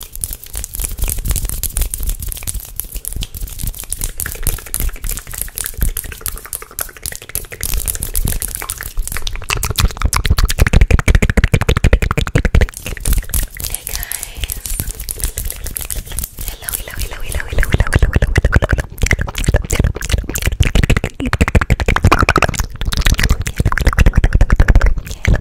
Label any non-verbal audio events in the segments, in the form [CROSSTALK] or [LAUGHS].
Hey guys. Hello, hello, hello, hello, hello,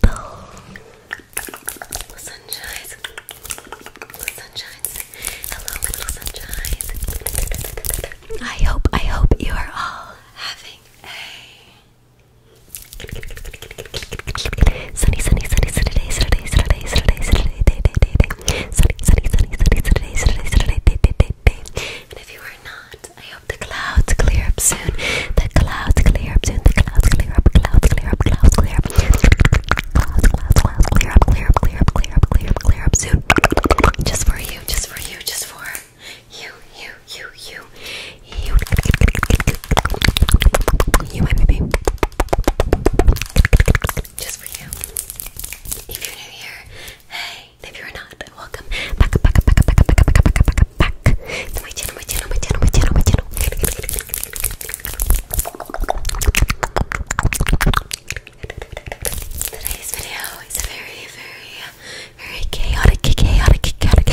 Little sunshines. Little sunshines. Hello, little sunshines. I hope, I hope you are all having a sunny, sunny, sunny Saturday, Saturday, Saturday, Saturday, Saturday, day, day, day, day. Sunny, sunny, sunny, sunny Saturday, Saturday, Saturday, day, day, day, day. And if you are not, clouds. I hope the clouds clear up soon. The clouds clear up soon. The clouds clear up. Clouds clear up. Clouds clear up. Clouds, clouds, clouds clear up. Clear up. Clear up. Clear up. Clear up. Clear up soon. Just for you. Just for you. Just for you. You. You. You. You. You, my baby. Just for you. If you're new here, hey. If you're not, welcome. Back. Back. Back. Back. Back. Back. Back. Back back. It's my channel, my channel, my channel, my channel, my channel. Today's video is very, very, very chaotic, chaotic, chaotic,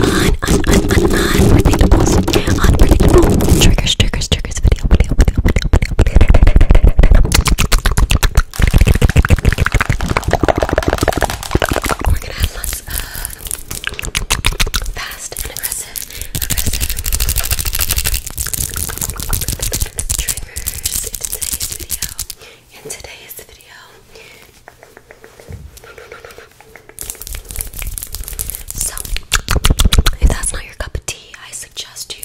unpredictable, unpredictable. Triggers, triggers, triggers. Video, video, video, video, video, video. We're gonna have lots of fast and aggressive, triggers in today's video. In today's video, so if that's not your cup of tea, I suggest you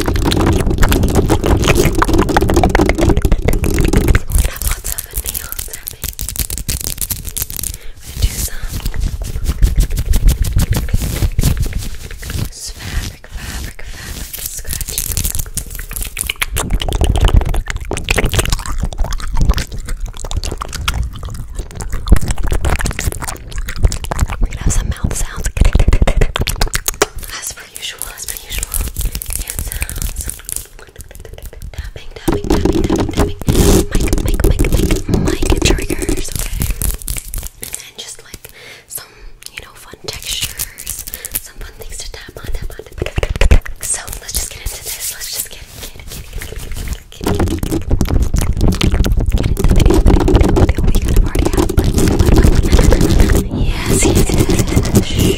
We have lots of nail tapping. We're gonna do some this fabric, fabric, fabric scratching. We're gonna have some mouth sounds. As for usual, as per usual, hand sounds. Tapping, tapping, tapping, tapping, tapping. Mic, mic, mic, mic, mic triggers, okay? And then just like some, you know, fun textures, some fun things to tap on, tap on, So let's just get into this. Let's just get, get, get, get, get, get. Get into the video, kind of already have, yes, yes.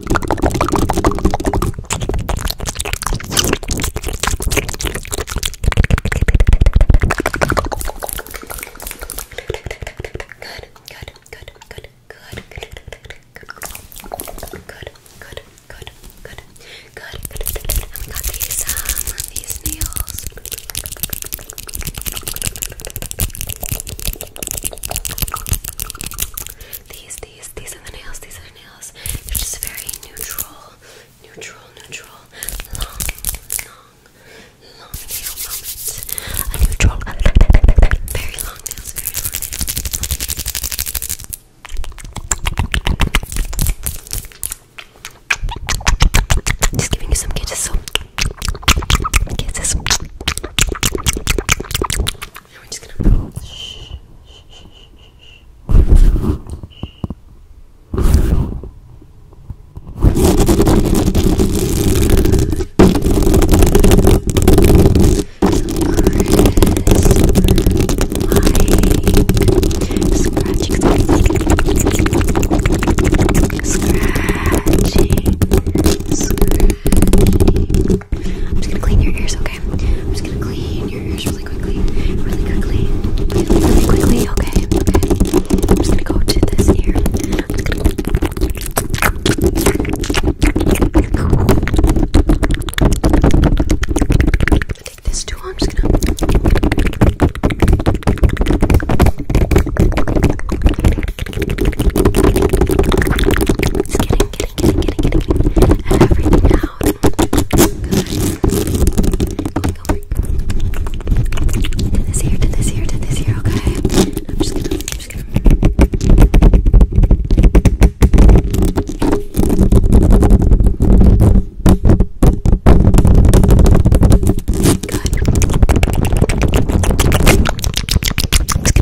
Good, good, good, good, good, good, good, good, good, good, good, good. I've got these um these nails. These, these, these are the nails. These are the nails. They're just very neutral, neutral, neutral, long, long, long nail moment. A neutral, very long nails, very long nails. Just giving you some kisses. So kisses. And we're just gonna move. Scratching, scratching, scratching. I'm just gonna clean your ears, okay? I'm just gonna clean your ears really quickly, really quickly, really, quickly, okay? I'm just gonna go to this ear. I'm just gonna go. Take this too. I'm just gonna getting, getting, getting, getting, getting everything out. Good. Going over to this ear, to this ear, to this ear. Okay. I'm just gonna, I'm just gonna. Good. Good.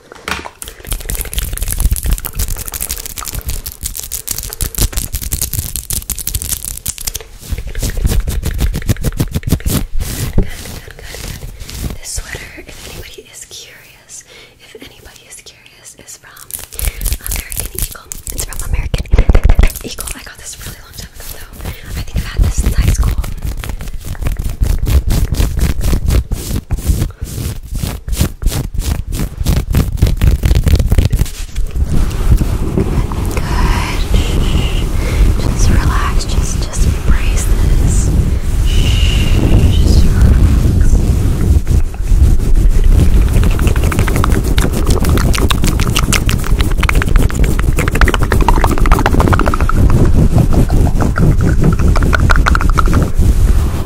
good. This sweater, if anybody is curious, if anybody is curious, is from American Eagle. It's from American Eagle. I got this a really long time ago, though. I think I've had this since high school. Good. Just relax. Just, just embrace this. Just relax.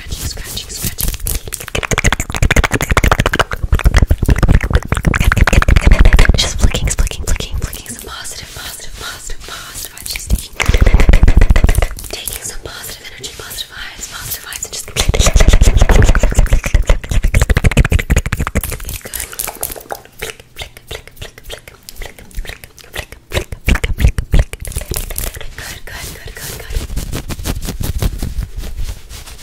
scratching, scratching, scratching. Just flicking, flicking, flicking, flicking. Some positive, positive, positive, positive. I'm just taking, taking some positive energy, positive vibes, positive vibes, and just good. Flick, flick, flick, flick, flick, flick, flick, flick, flick, flick, flick, flick. Good, good, good, good, good.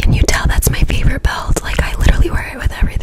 Can you tell that's my favorite belt? Like, I literally wear it with everything.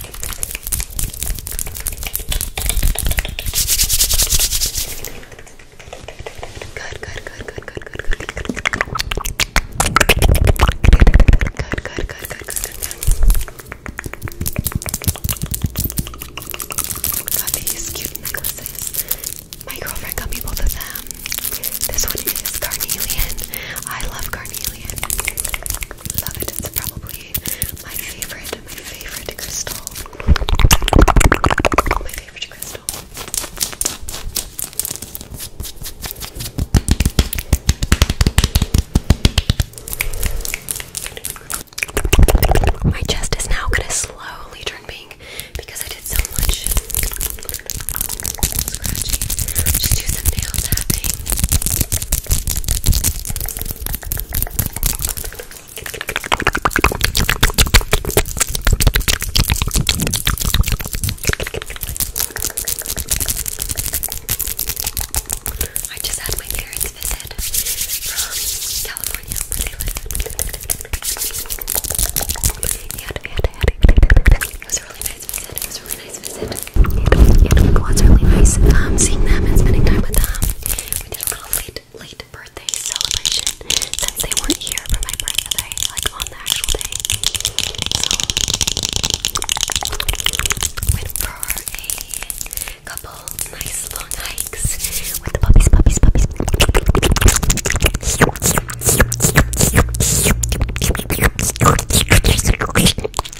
Good, good, good, good, good, good, good. Good, good, good, good, good, good. Got these cute necklaces. My girlfriend got me both of them. This one is carnelian. I love carnelian. Love it. It's probably my favorite, my favorite crystal. My favorite crystal. My chest is now gonna slowly turn pink because I did so much nail tapping. I just had my parents visit from California where they live. And, and, and, and it was really nice. It was a really nice visit. It, was really nice um, seeing them and spending time with them. We did a little late, late birthday celebration since they weren't here for my birthday, like on the actual day. So, went for a couple nice long hikes with the puppies, puppies, puppies. Which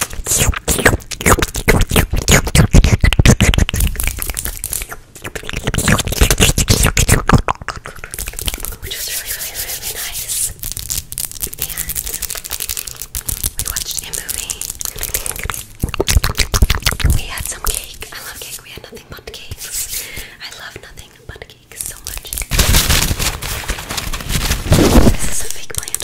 was really, really, really nice. And we watched a movie. We had some cake. I love cake. We had nothing but cakes. I love nothing but cakes so much. This is a fake plant.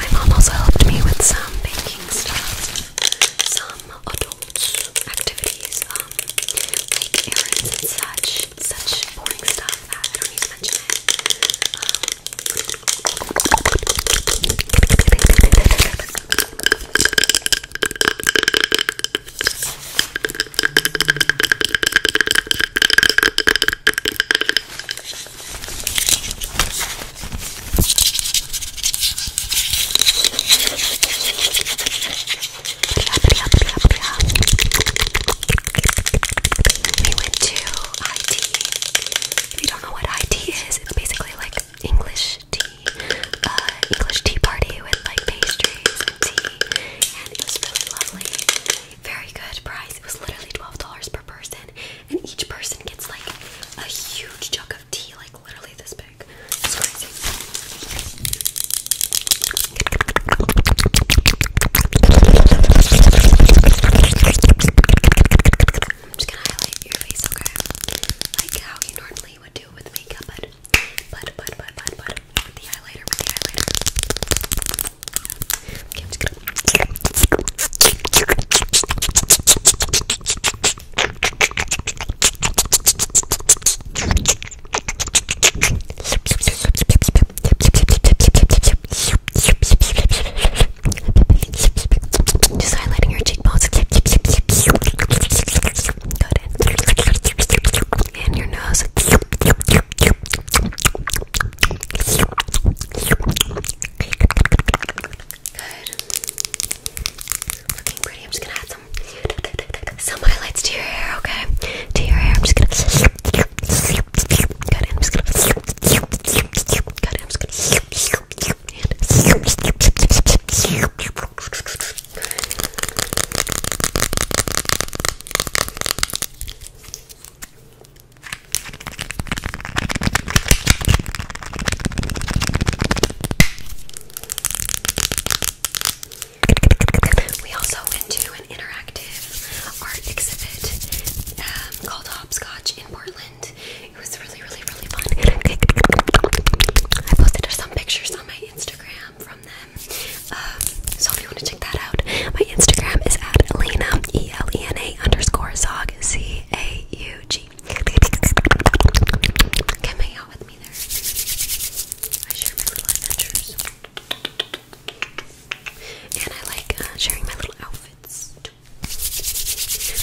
My mom also helped me with some baking stuff, some adult activities, um, like errands and such, such boring stuff that I don't need to mention we went to IT. If you don't know what IT is, it's basically like English English tea, uh, English tea party with like pastries and tea, and it was really lovely. Very good price. It was literally twelve dollars per person, and each person gets like a huge jug of tea, like literally this big. It's crazy. I'm just gonna highlight your face, okay? Like how you normally normally would do with makeup, but but but but but but with the highlighter, with the highlighter. Okay, I'm just gonna just highlighting your cheekbones. Good. And your nose. Good. Looking pretty. I'm just gonna add some some highlights to your hair, okay? To your hair. I'm just gonna good. I'm just gonna good. I'm just gonna we also went to an interactive art exhibit um, called Hopscotch in Portland. It was really, really, really fun. I posted some pictures on my Instagram from them. Um, so if you want to check that out, my Instagram is at Elena, E L E N A underscore Zog, C A U G. Come hang out with me there. I share my little adventures. And I like uh, sharing my little outfits too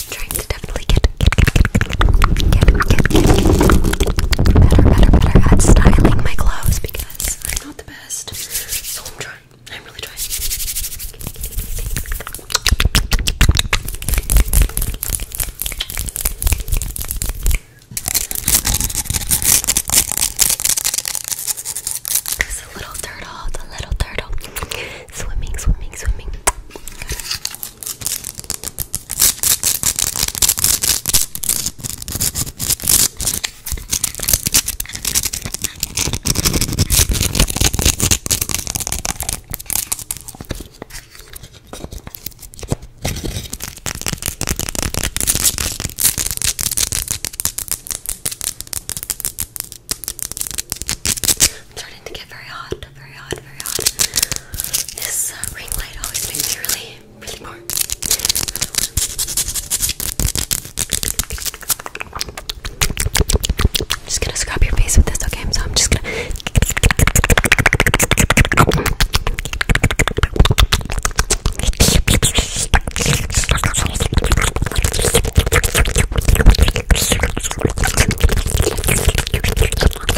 trying to definitely get, get, get, get, get, get, better, better, better at styling my gloves because I'm not the best. So I'm trying. I'm really trying. There's a little turtle, the little turtle swimming, swimming, swimming. I'm starting to get very hot very hot, very hot. This uh, ring light always makes me really, really more. just gonna scrub your face with this, okay? So I'm just gonna. I also went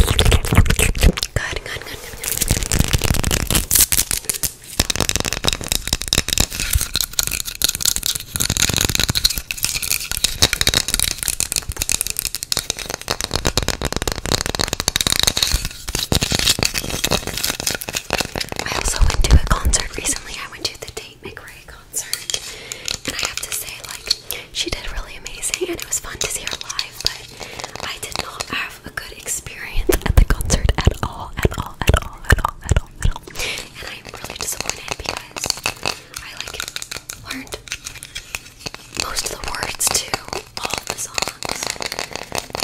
to a concert recently. I went to the Tate McRae concert. And I have to say, like, she did really amazing and it was fun to see her live, but I did not have a good experience at the concert at all, at all, at all, at all, at all, at all. And I'm really disappointed because I like learned most of the words to all of the songs.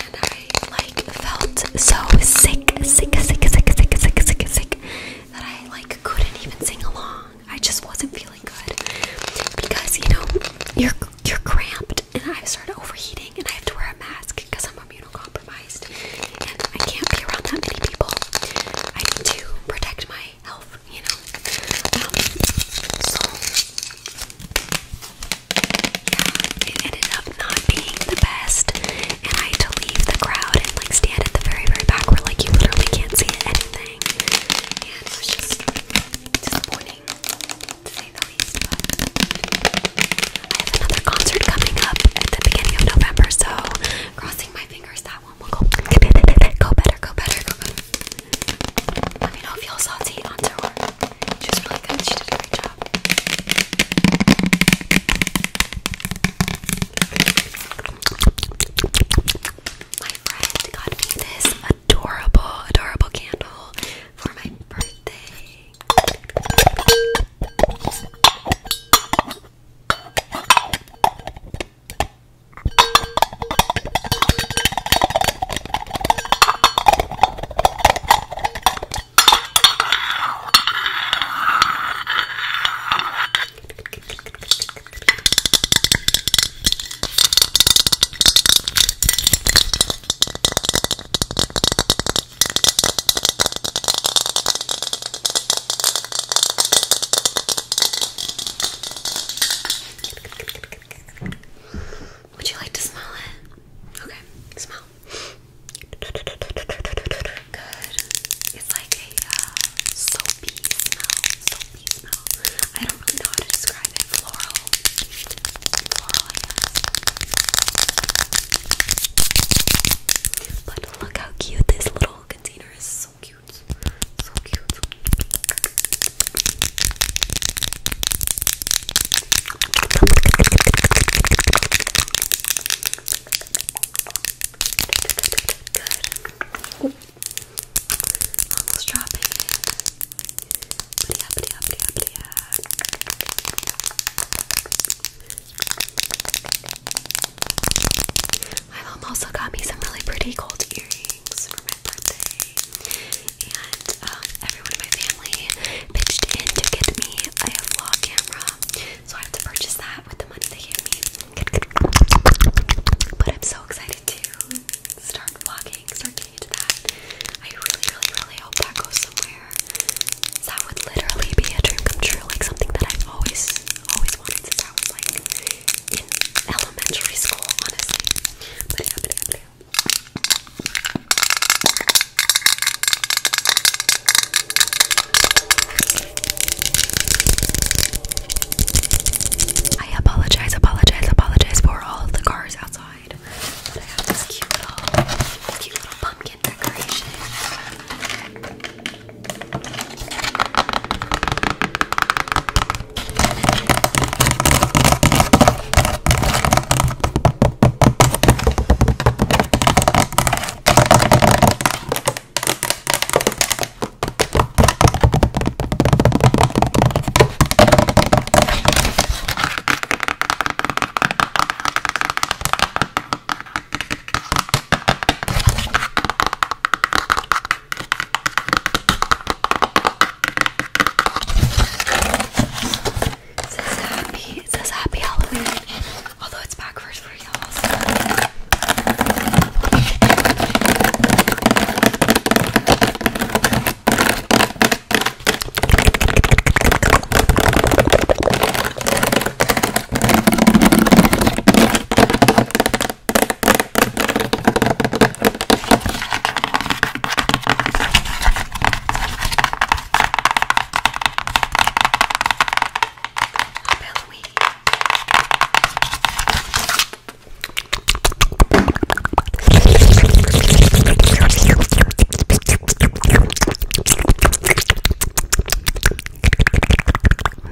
And I like felt so sick, sick, sick, sick, sick, sick, sick, sick, sick that I like couldn't even sing along. I just wasn't feeling good because you know you're you're cramped, and i started overheating, and I have to wear a mask because I'm immunocompromised, and I can't be around that many people. I need to protect my health, you know. Um, so yeah, it ended up not being the best, and I had to leave the crowd and like stand at the very very back where like you literally can't see anything morning, just disappointing to say the least. I have another concert coming up at the beginning of November, so crossing my fingers that one will go, go better, go better, go better. Let me know if y'all saw T on tour. She was really good. She did a great job my friend got me this adorable, adorable candle for my birthday. Would you like to smell it? Okay, smell. Good. It's like a uh, soapy smell, soapy smell. I don't really know how to describe it. Floral, But look how cute this little container is. So cute, so cute. Good. Almost dropping My mom also got me some really pretty gold earrings for my birthday. And um, everyone in my family pitched in to get me a vlog camera. So I had to purchase that with the money they gave me. But I'm so excited to start walking, start getting into that. I really, really, really hope that goes somewhere. That would literally be a dream come true, like something that I've always, always wanted since I was like in elementary school, honestly. But yeah, I apologize, apologize, apologize for all of the cars outside. I have this cute little, cute little pumpkin decoration. It says happy, it says happy Halloween, although it's backwards for you. Happy Halloween. I'm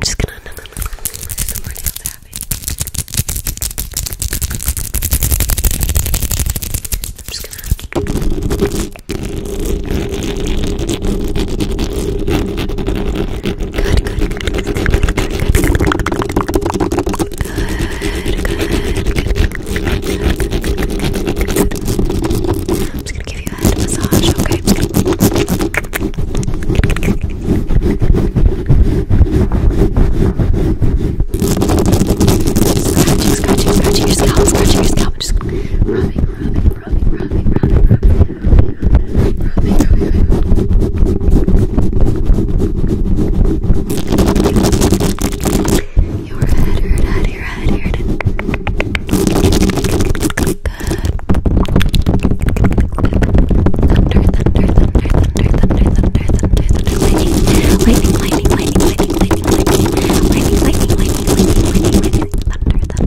just gonna no, no, no, no. the morning of the happy. I'm just gonna good, good, good, good, good. I'm just gonna give you a head massage, okay? Scratching, scratching, scratching your scalp, scratching your scalp, just rubbing, rubbing, rubbing, rubbing, rubbing, rubbing. Your head hurt out your head hurt. Good. Thunder, thunder, thunder, thunder, thunder, thunder, thunder, thunder, lightning, lightning, lightning, lightning, lightning, lightning, lightning, lightning, lightning, lightning, lightning, lightning, lightning, lightning, lightning, thunder, thunder.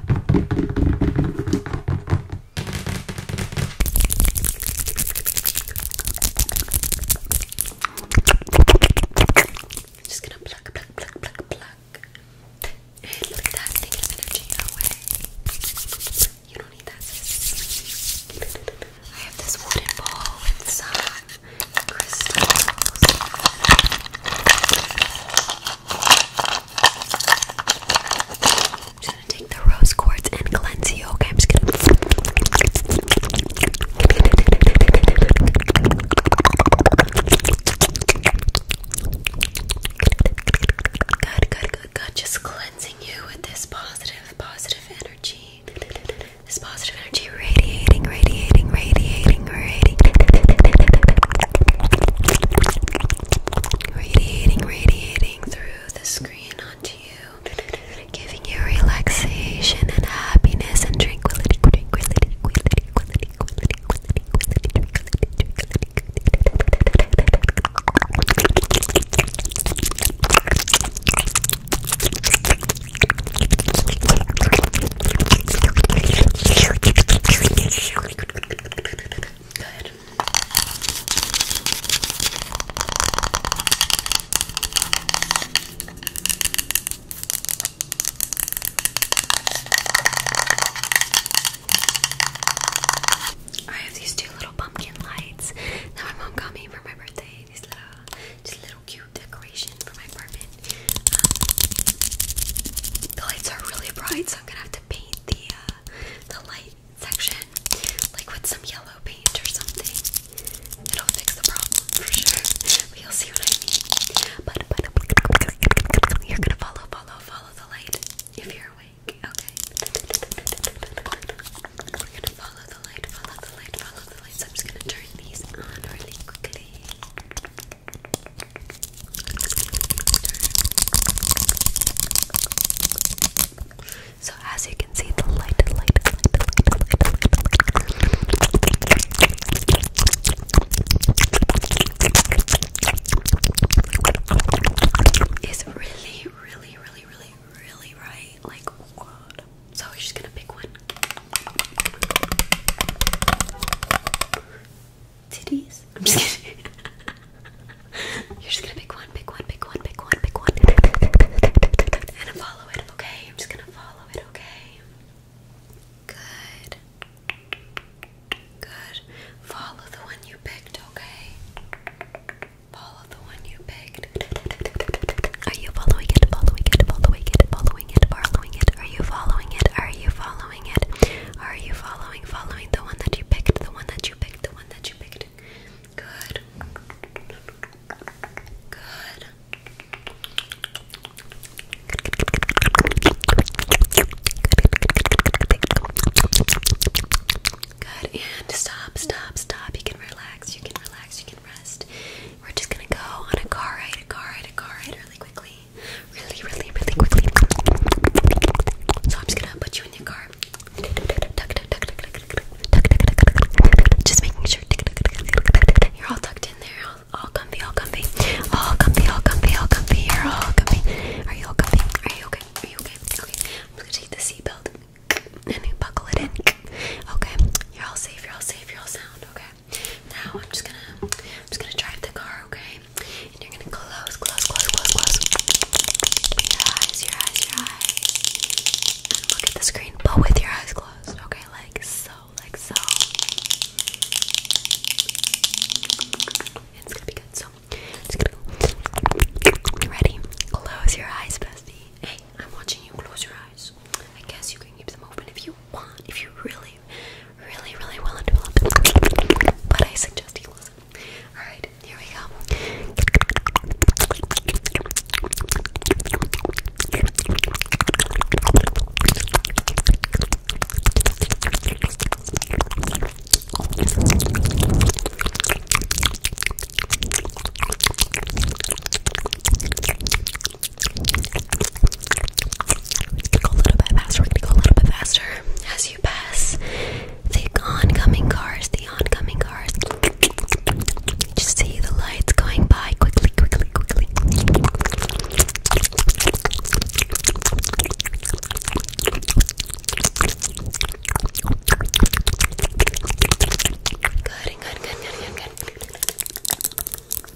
I'm just gonna pluck, pluck, pluck, pluck, pluck. Look at that negative energy away. You don't need that. I have this wooden bowl with some crystals. I'm just gonna take the rose quartz and cleanse you. Okay, I'm just gonna. Just cleansing you with this positive, positive energy. This positive energy radiating, radiating, radiating being radiating, radiating, through the screen onto you, giving you relaxation and happiness and tranquility. Good. I have these two little pumpkin lights that my mom got me for my birthday. These little, just little cute decor decoration for my apartment. Um, the lights are really bright, so I'm gonna have to paint the uh, the light section like with some yellow paint or something. It'll fix the problem for sure, but you'll see what I mean. But, but you're gonna follow, follow, follow the light if you're awake. Okay. We're gonna follow the light, follow the light, follow the light. So I'm just gonna turn these on really quickly. So as you can see, the light, light, light, light, light, light is really, really, really, really, really bright. Like, oh god. So we're just gonna pick one. Titties. [LAUGHS] I'm just kidding. [LAUGHS] You're just gonna pick one, pick one, pick one, pick one, pick one. And I follow it, okay? I'm just gonna follow it, okay? Good. Good. Follow the one you picked, okay? Follow the one you picked. Are you following it? Following it, following it, following it, following it. Are you following it? Are you following are you following, following the one that you picked, the one that you picked, the one that you picked? Good. Good. Good. And stop, stop, stop. You can relax, you can relax, you can rest. We're just gonna go on a car ride, a car ride, a car ride really quickly really, really, really quickly. So I'm just gonna put you in your car. Just making sure you're all tucked in there, all, all comfy, all comfy, all comfy, all comfy, all comfy. You're all comfy. Are you all comfy? Are you okay? Are you okay? Okay. I'm gonna take the seatbelt and buckle it in. Okay. You're all safe. You're all safe. You're all sound. Okay. Now I'm just gonna just gonna drive the car, okay? And you're gonna close, close, close, close, close. Your eyes, your eyes, your eyes. And look at the screen, but with your eyes closed, okay? Like so, like so. It's gonna be good. So Ready? Close your eyes, bestie. Hey, I'm watching you close your eyes. I guess you can keep them open if you want, if you really really, really well developed, but I suggest he wasn't. Alright, here we go. We're gonna go a little bit faster. We're gonna go a little bit faster as you pass the oncoming cars. The oncoming cars. Just see the lights going by quickly, quickly, quickly. Good, good, good, good, good,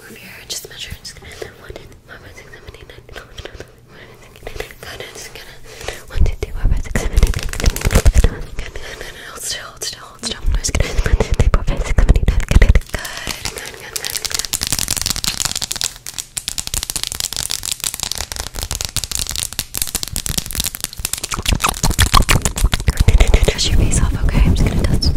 over here. I just measured. Just gonna one, two, four, five, six, seven, eight, nine, ten, eleven, twelve, thirteen, fourteen, fifteen, sixteen, seventeen, eighteen, nineteen. Hold still, hold still, hold still. I'm just gonna one, two, three, four, five, six, seven, eight, nine. Good, good, good, good, good, good. Touch your face off, okay? I'm just gonna touch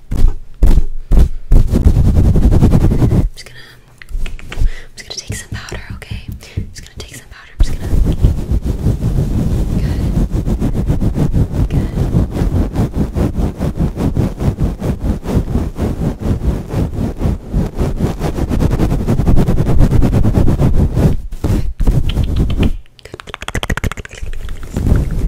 I'm just gonna, I'm just gonna take some powder, okay? I'm just gonna take some powder. I'm just gonna. Good. Good.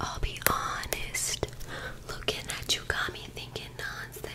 I'll be honest. Looking at you got me thinking nonsense.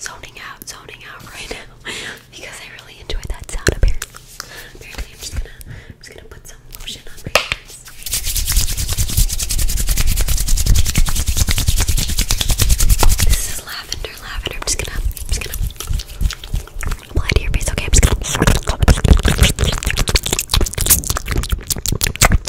Zoning out, zoning out right now [LAUGHS] because I really enjoyed that sound. Apparently, apparently, I'm just gonna, I'm just gonna put some lotion on my hands. This is lavender, lavender. I'm just gonna, I'm just gonna apply to your face. Okay, I'm just gonna. Good.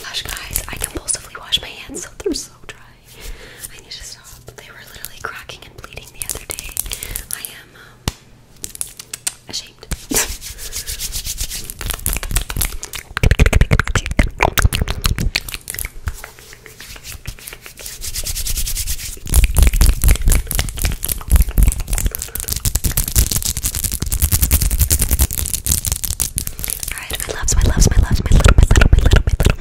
Gosh, guys, I compulsively wash my hands, so they're so dry. I need to stop. They were literally cracking and bleeding the other day. I am um, ashamed. my loves, my loves, my loves, my little, my little, my little, my little,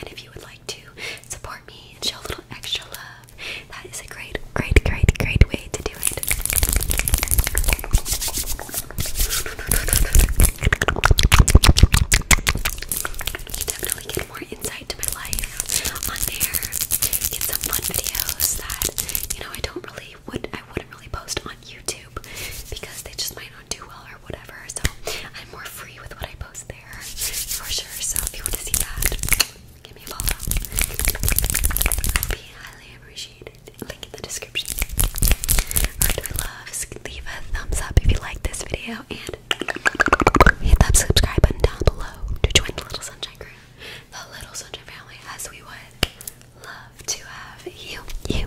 and if you would like to support me and show a little extra love, that is a great, great, great, great way to do it. definitely get more insight to my life on there. Get some fun videos that you know I don't really would I wouldn't really post on YouTube because they just might do well or whatever. So I'm more free with what I post there for sure. So if you want to see that, give me a follow. would be highly appreciated. Link in the description. Alright, my leave a thumbs up if you like this video and hit that subscribe button down below to join the Little Sunshine crew, the Little Sunshine family, as we would love to have you. You